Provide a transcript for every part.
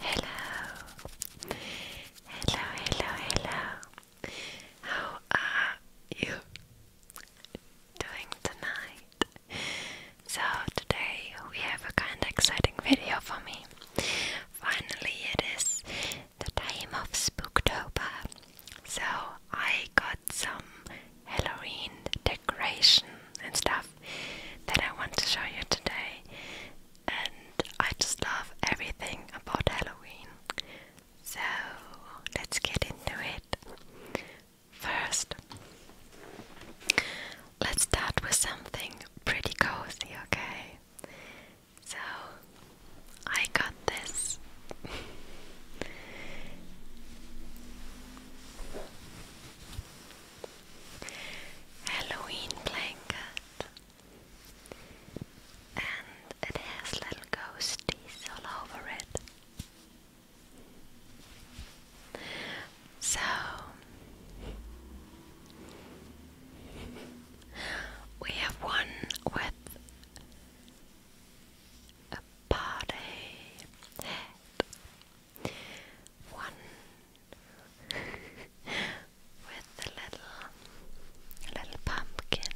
Hello, hello, hello, hello. How are you doing tonight? So today we have a kind of exciting video for me. Finally, it is the time of Spooktober, so I got some Halloween decoration and stuff that I want to show you today. And I just love everything about Halloween. So let's get into it. First, let's start with something pretty cozy, okay? So, I got this. Halloween blanket, and it has little ghosties all over it. So we have one with a party head one with the little little pumpkin.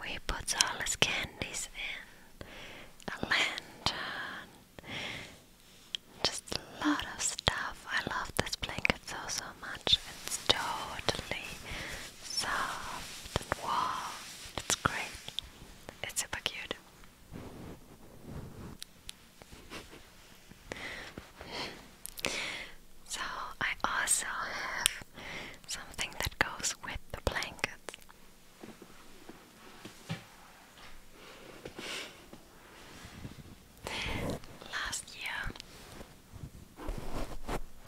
We put all his candies in a lantern. Just a lot of stuff. I love this blanket so so much. It's totally soft and warm. It's great. It's super cute. so I also have something that goes with the blankets. Last year,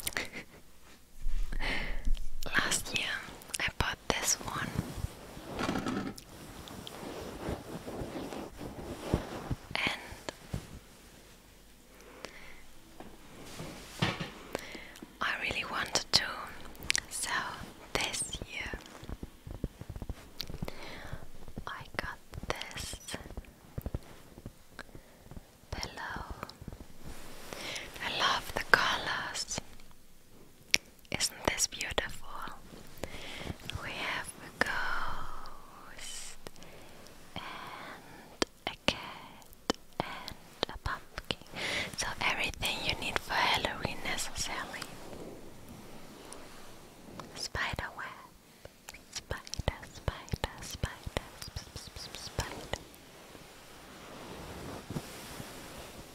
last year I bought this one. And I really wanted to, so this year I got this pillow. I love the colors. Isn't this beautiful? We have a ghost and a cat and a pumpkin. So everything you need for Halloween necessarily. Spider web. Spider, spider, spider, sp sp sp spider.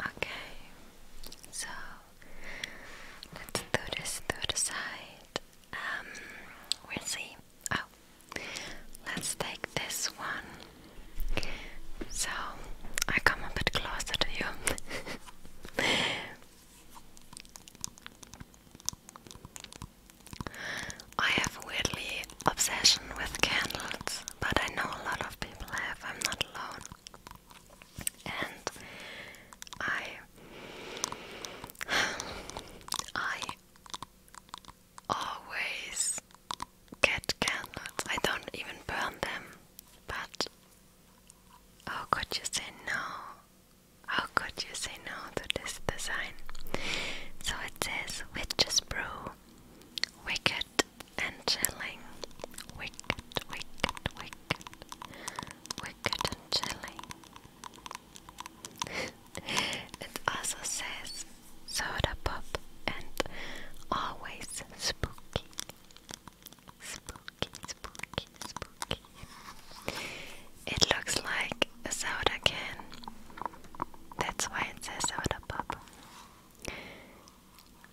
Okay, so let's do this to the side. Um, we'll see. Oh, let's take this one. So I come a bit closer to you. I have weirdly obsession with candles, but I know a lot of people have. I'm not alone and I I always get candles. I don't even burn them, but how could you say no? How could you say no to this design? So it says Witch's Brew Wicked and chilling. Wicked, wicked, wicked. Wicked and chilling. it also says soda pop and always spooky. Spooky, spooky, spooky. It looks like a soda can. That's why it says soda pop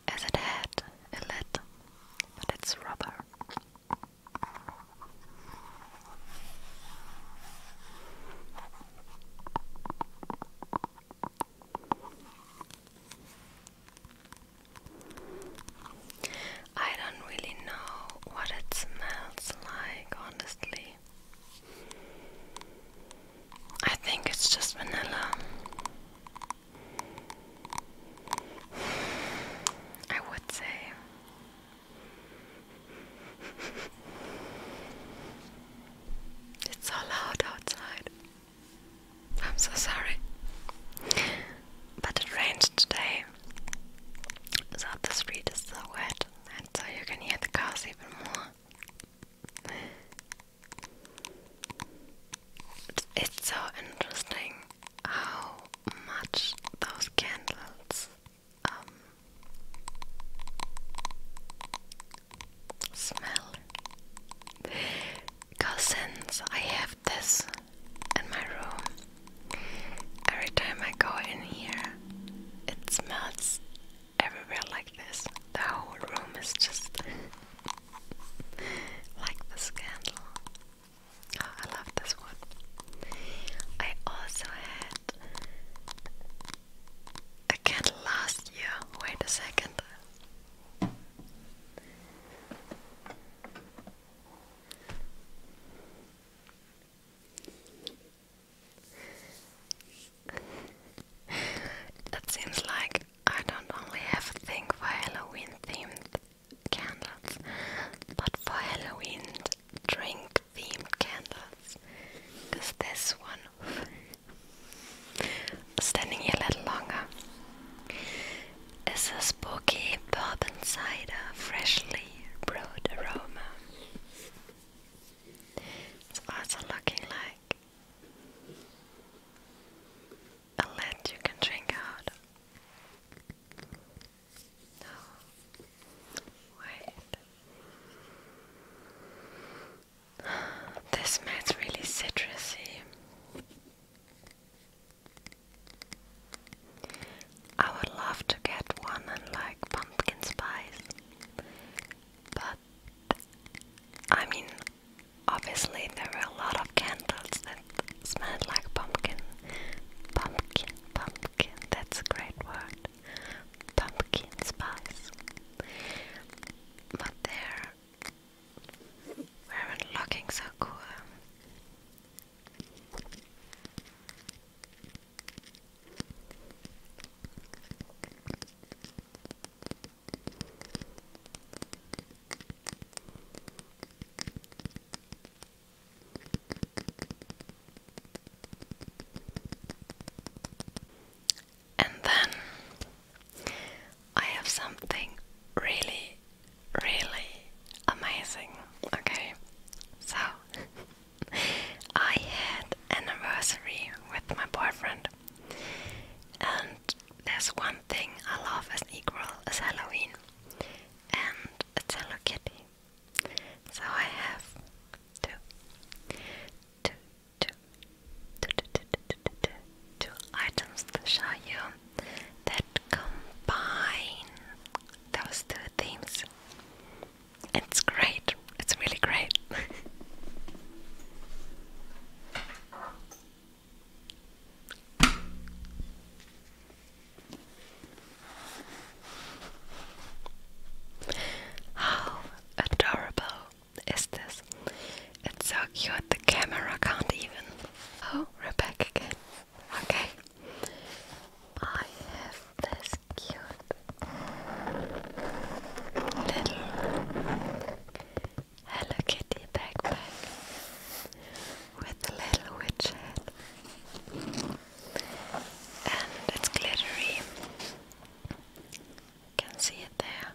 as it had a lid, but it's rubber. I don't really know what it smells like, honestly. I think it's just vanilla. I would say. It's so loud outside. I'm so sorry. But it rained today. So the street is so wet, and so you can hear the cars even more. It's so interesting how much those candles um, smell. Because since I have this in my room, every time I go in here, it smells everywhere like this. The whole room is just like the scandal. Oh, I love this one. I also had a candle last year. Wait a second. It seems like I don't only have a thing for Halloween themed candles, but for Halloween drink themed candles. Cause this one standing here a little longer is a spooky bourbon cider freshly brewed aroma. It's also looking like a lead you can drink out. No. Wait. This smells really citrusy. I would love to get one and like pumpkin spice, but I mean, obviously there were a lot of candles that smelled like pumpkin. Pumpkin, pumpkin, that's a great word. Pumpkin spice. But they weren't looking so cool. And then I have something really, really amazing. Okay, so I had anniversary with my boyfriend, and there's one thing I love as equal as Halloween, and it's Hello Kitty. So I have two, two, two, two, two, two, two, two, two, two items to show you that combine those two themes. It's great. It's really great. How adorable is this? It's so cute the camera can't even. Oh, we Okay. I have this cute little I look Hello Kitty backpack with the little witch head, and it's glittery. can see it there.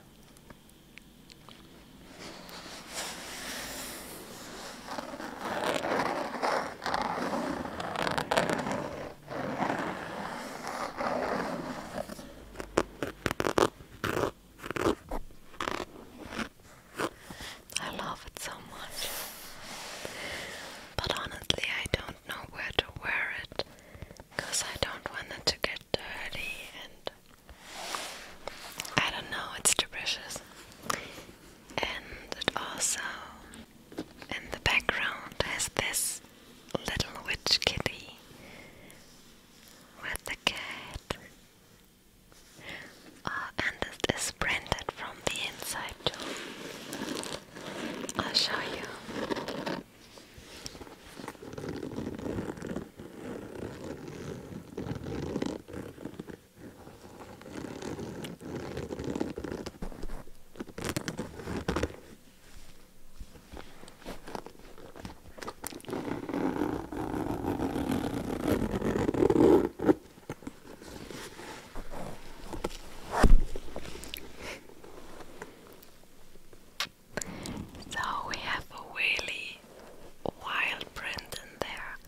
I love it so much. But honestly, I don't know where to wear it because I don't want it to get dirty and I don't know, it's too precious. And it also in the background has this little witch kitty with the cat. Uh, and it is printed from the inside too. I'll show you. So we have a really wild print in there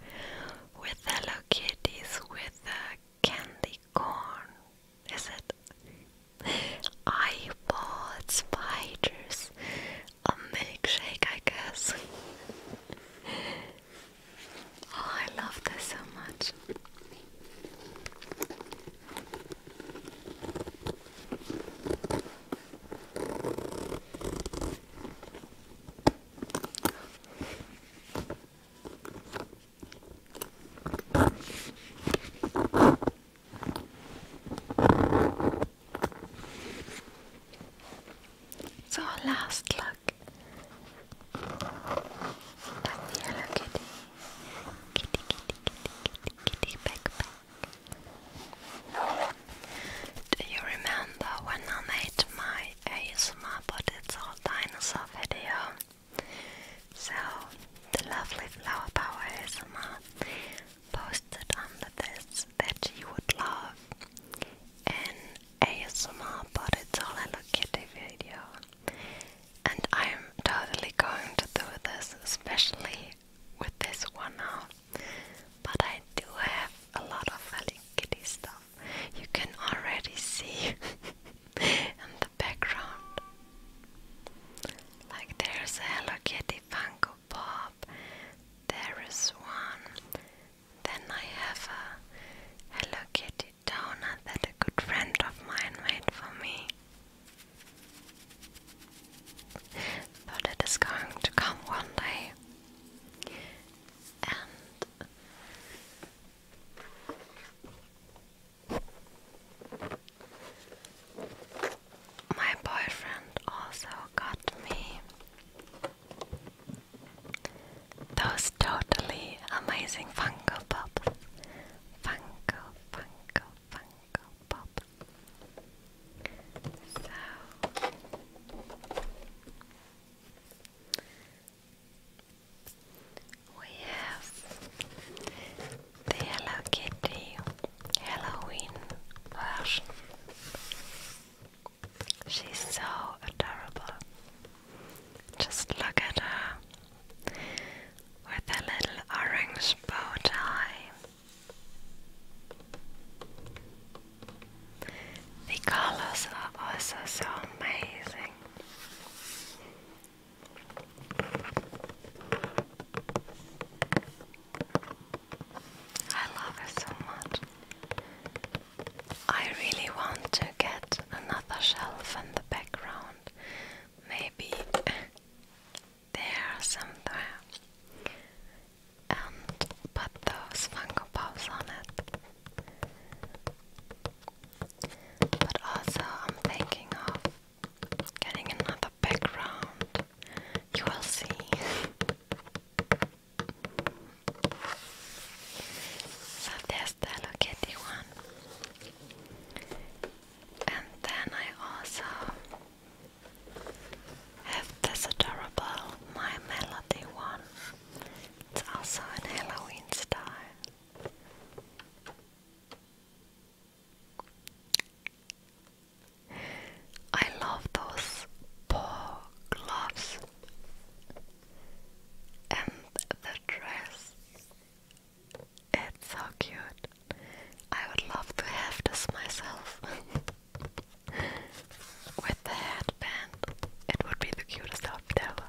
with Hello Kitties with the candy corn is it? I bought spiders a milkshake, I guess. oh, I love this so much. So last look at the Hello Kitty, Kitty, Kitty, Kitty, Kitty, Kitty backpack. Do you remember when I made my ASMR but it's all dinosaur video? So, the lovely Flower Power ASMR posted under this that you would love an ASMR but it's all Hello Kitty video. And I'm totally going to do this, especially with this one now. But I do have a lot of Hello Kitty stuff. You can already see background. Like there's a Hello Kitty Funko Pop, there is one. Then I have a Hello Kitty donut that a good friend of mine made for me. But it is going to come one day. My boyfriend also got me those totally amazing Funko Pops. Funko, Funko, Funko Pop. So we have the Hello Kitty Halloween version. She's so adorable. Just look at her with a little orange bow tie. The colors are also so amazing. I love it so much. I really want to get another shelf in the background. Maybe there somewhere. And put those Funko Pops on it. But also, I'm thinking of getting another background. You will see. so there's the Hello one. And then I also have this adorable My Melody one. It's also in Halloween style. I love those paw gloves and the dress. It's so cute. I would love to have this myself. With the headband, it would be the cutest outfit ever.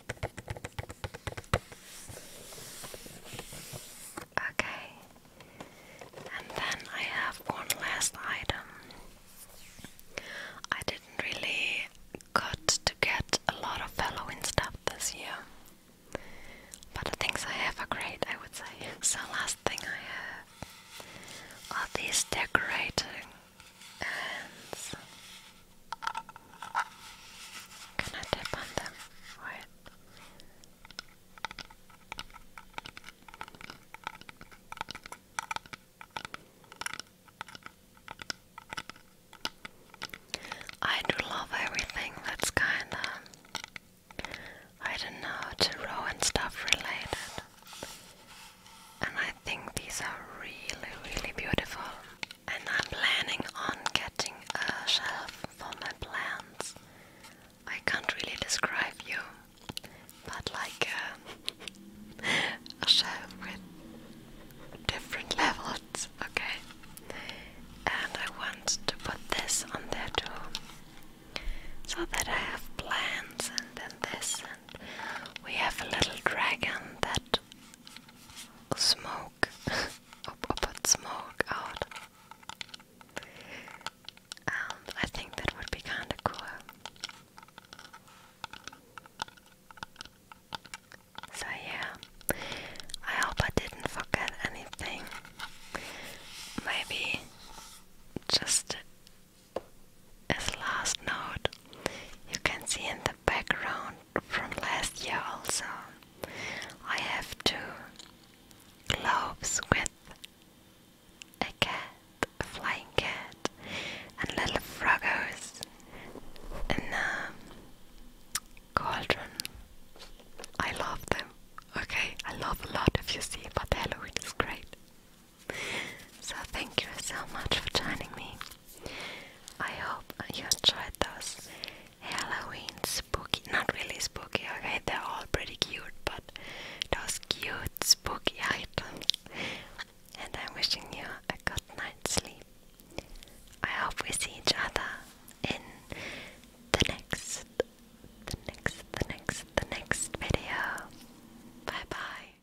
Okay, and then I have one last item. I didn't really got to get a lot of Halloween stuff this year, but the things I have are great, I would say. So, last thing I have are these decorating hands. Uh, can I tap on them? Right. I do love everything that's kinda, I don't know, to row and stuff related. And I think these are really, really beautiful. And I'm planning on getting a shelf for my plants. I can't really describe you, but like uh, a, shelf with different levels, okay? And I want to put this on there too, so that I have plants and then this, and we have a little dragon that smoke. i smoke out. Um, I think that would be kind of cool. So yeah, I hope I didn't forget anything. Maybe just as last note, you can see in the background from last year also, I have two globes with a cat, a flying cat, and little froggers in a cauldron. I love them. Okay, I love a lot if you see, but Halloween is great. So thank you so much for joining me. I hope you enjoyed those Halloween spooky, not really spooky, okay, they're all pretty cute, but those cute spooky items. And I'm wishing you a good night's sleep. I hope we see each other in the next, the next, the next, the next video. Bye bye.